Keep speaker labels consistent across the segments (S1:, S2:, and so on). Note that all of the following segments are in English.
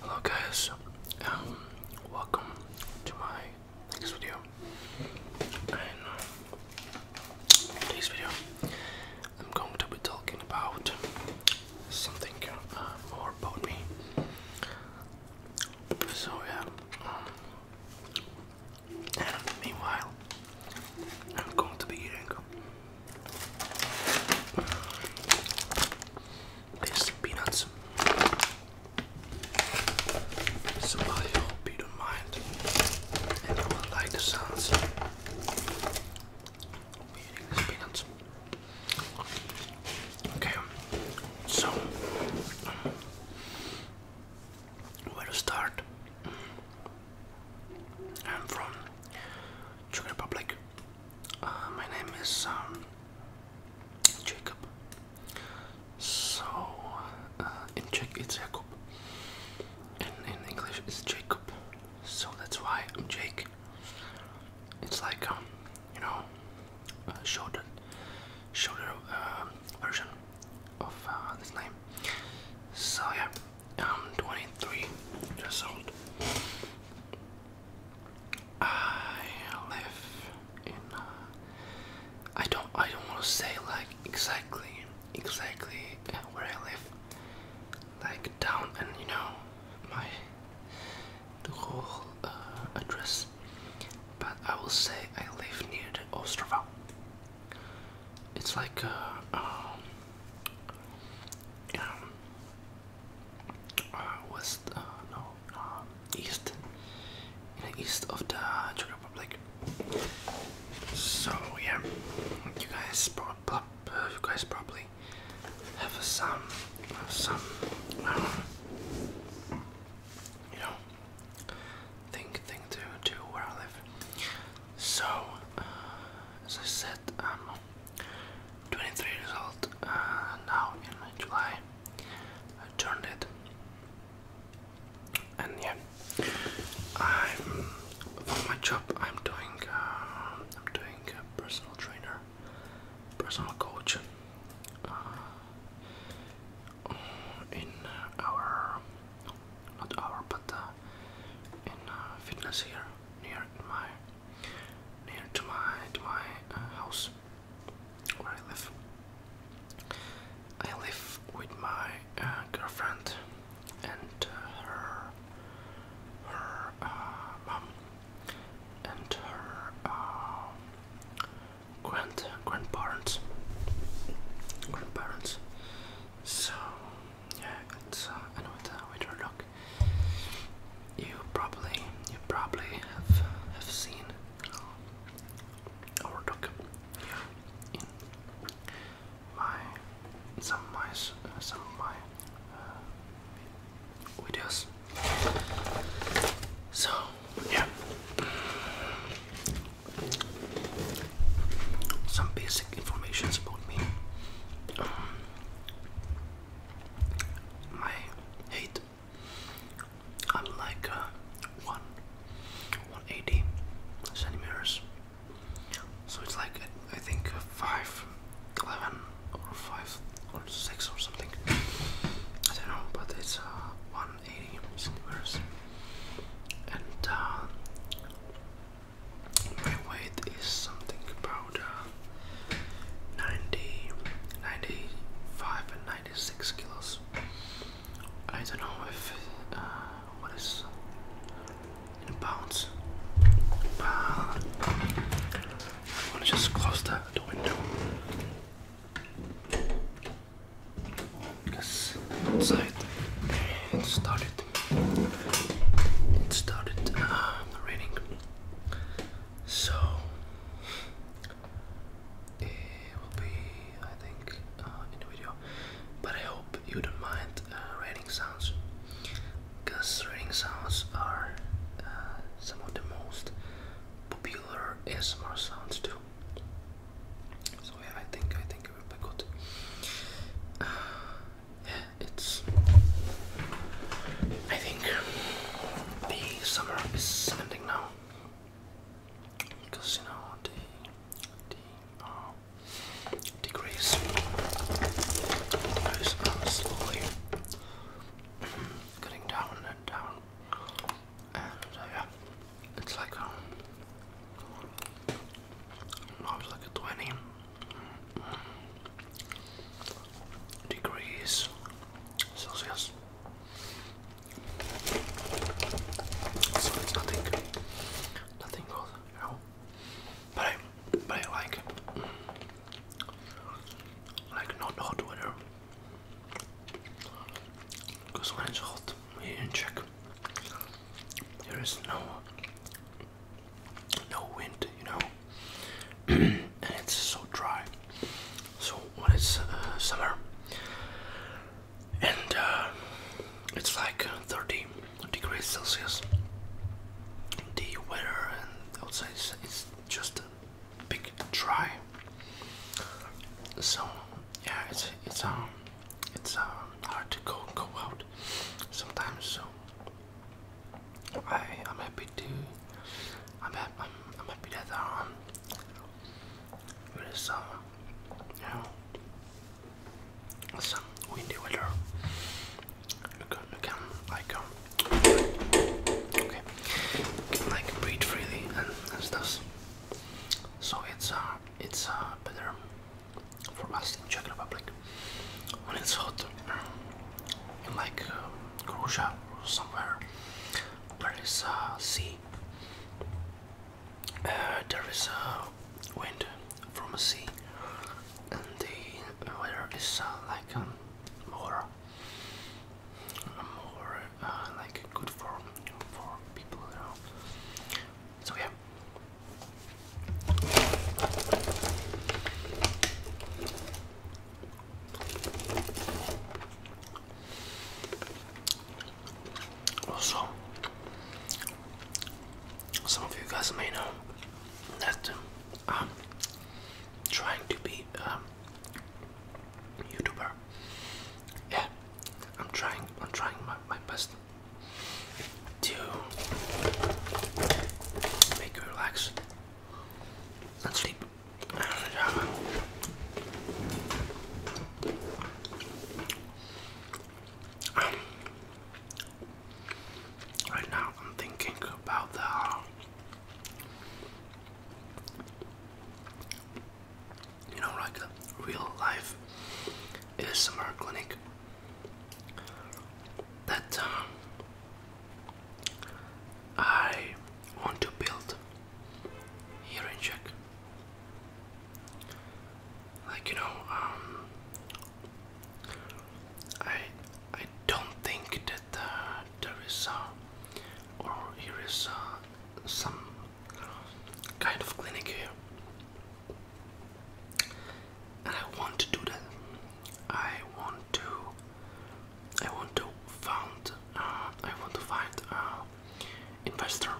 S1: Hello guys, um, welcome to my next video. And uh, today's video, I'm going to be talking about something uh, more about me. So yeah, um, and meanwhile, I'm going to be eating Tasty peanuts. So I hope mind and like the sounds eating these peanuts. Okay, so um, where to start? I'm from Czech Republic. Uh, my name is um, Jacob. So uh, in Czech it's Jakub, and in English it's Jacob. So that's why I'm Jake. It's like um, you know, shorter, shorter uh, version of this name. So yeah. I'm 23 years old. I live in. Uh, I don't. I don't want to say like exactly, exactly where I live. Like down and you know my the whole uh, address, but I will say I live near the Ostrava it's like uh, um, um uh, west, uh, no, um, east, east of the Czech Republic. So yeah, you guys, pro you guys probably have some, have some, uh, you know, thing, thing to do where I live. So, uh, as I said, I'm 23 years old uh, now in July. I turned it. And yeah, I'm for my job. I'm doing uh, I'm doing a personal trainer, personal coach uh, in our not our but in uh, fitness here near my near to my to my uh, house where I live. I live with my uh, girlfriend and her her mom and her grand grandparents grandparents. So yeah, it's uh, I look. You probably, you probably have have seen our look in my some my some my uh, videos. So yeah some basic information about me. Um, my height. I'm like uh, one, 180 centimeters. So it's like I think uh, five, eleven, or five, or six, or something. I don't know, but it's uh, 180 centimeters. And my weight is something about uh, 95 and 96 kilos. I don't know if uh, what is in pounds, but i want to just close the, window because inside it's dark. It started uh, raining. So it will be, I think, uh, in the video. But I hope you don't mind uh, raining sounds, because raining sounds are uh, some of the most popular ASMR sounds too. So yeah, I think I think it's. I think the summer is ending now because you know the the degrees uh, are slowly getting down and down and uh, yeah, it's like um, I was like a 20 degrees Celsius. So it's nothing, nothing cold, you know. But I, but I like, like not hot weather. Because when it's hot here in Czech, there is no no wind, you know, and it's so dry. So when it's uh, summer, and uh, it's like uh, 30 degrees Celsius, the weather and outside is, just a big dry. So yeah, it's it's um it's uh, hard to go go out sometimes. So I I'm happy to I'm ha I'm, happy that um it is um you know some windy weather. You can you can like um okay like breathe freely and, and So it's uh it's uh better from us in Czech Republic when it's hot in like uh, Croatia or somewhere there is a sea uh, there is a wind from a sea and the weather is uh, like um, more more like good for for people you know so yeah. Also, some of you guys may know that um, I'm trying to be a um, YouTuber. Yeah, I'm trying. I'm trying my, my best to make you relax and sleep. Um, right now, I'm thinking about the you know, like a real life ASMR clinic that um, I want to build here in Czech. Like you know, um, I I don't think that uh, there is uh, or here is uh, some kind of clinic here and I want to do that. I want to. I want to find. Uh, I want to find an uh, investor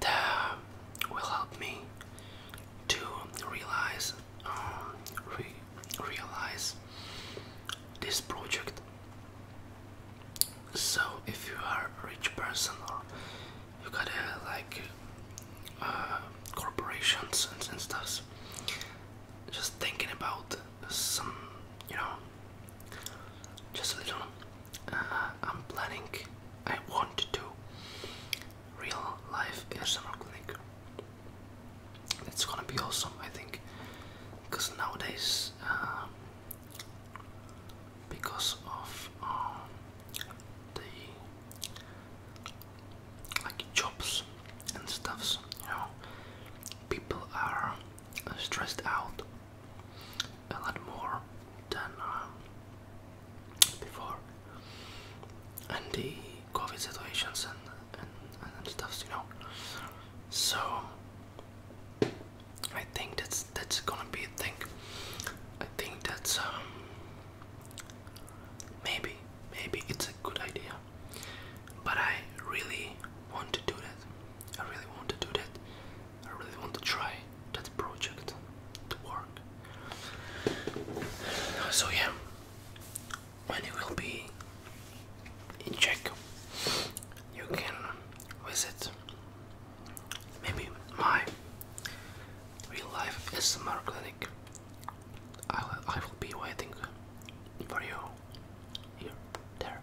S1: that will help me to realize um, realize this project so if you are a rich person or uh, you got a, like uh, corporations and, and stuff, just thinking about some, you know, just a little. Uh, I'm planning. I want to do real life ASMR clinic. It's gonna be awesome, I think, because nowadays. Um, because of um, the like jobs and stuffs. You know, people are uh, stressed out a lot more than um, before, and the COVID situations and and, and stuffs. You know, so I think that's that's gonna be a thing. I think that's um maybe maybe it's a good idea. But I really want to do that. I really want to do that. I really want to try that project to work. So yeah, when it will be in check, you can visit Maybe my real life SMR clinic. I will, I will be waiting for you here, there.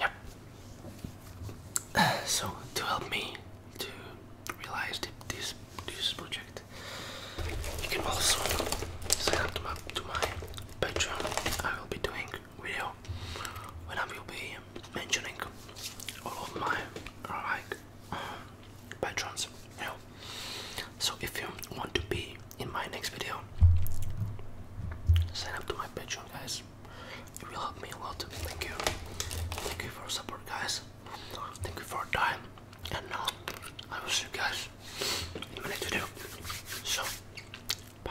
S1: Yep. so to help me to realize this this project, you can also sign up to my Patreon. I will be doing video when I will be mentioning all of my like um, patrons, you know. So if you want to be in my next video, sign up to my Patreon, guys. It will help me a lot. Thank you, thank you for support, guys. Thank you for your time, and now um, I will you guys in my video. So. Bye.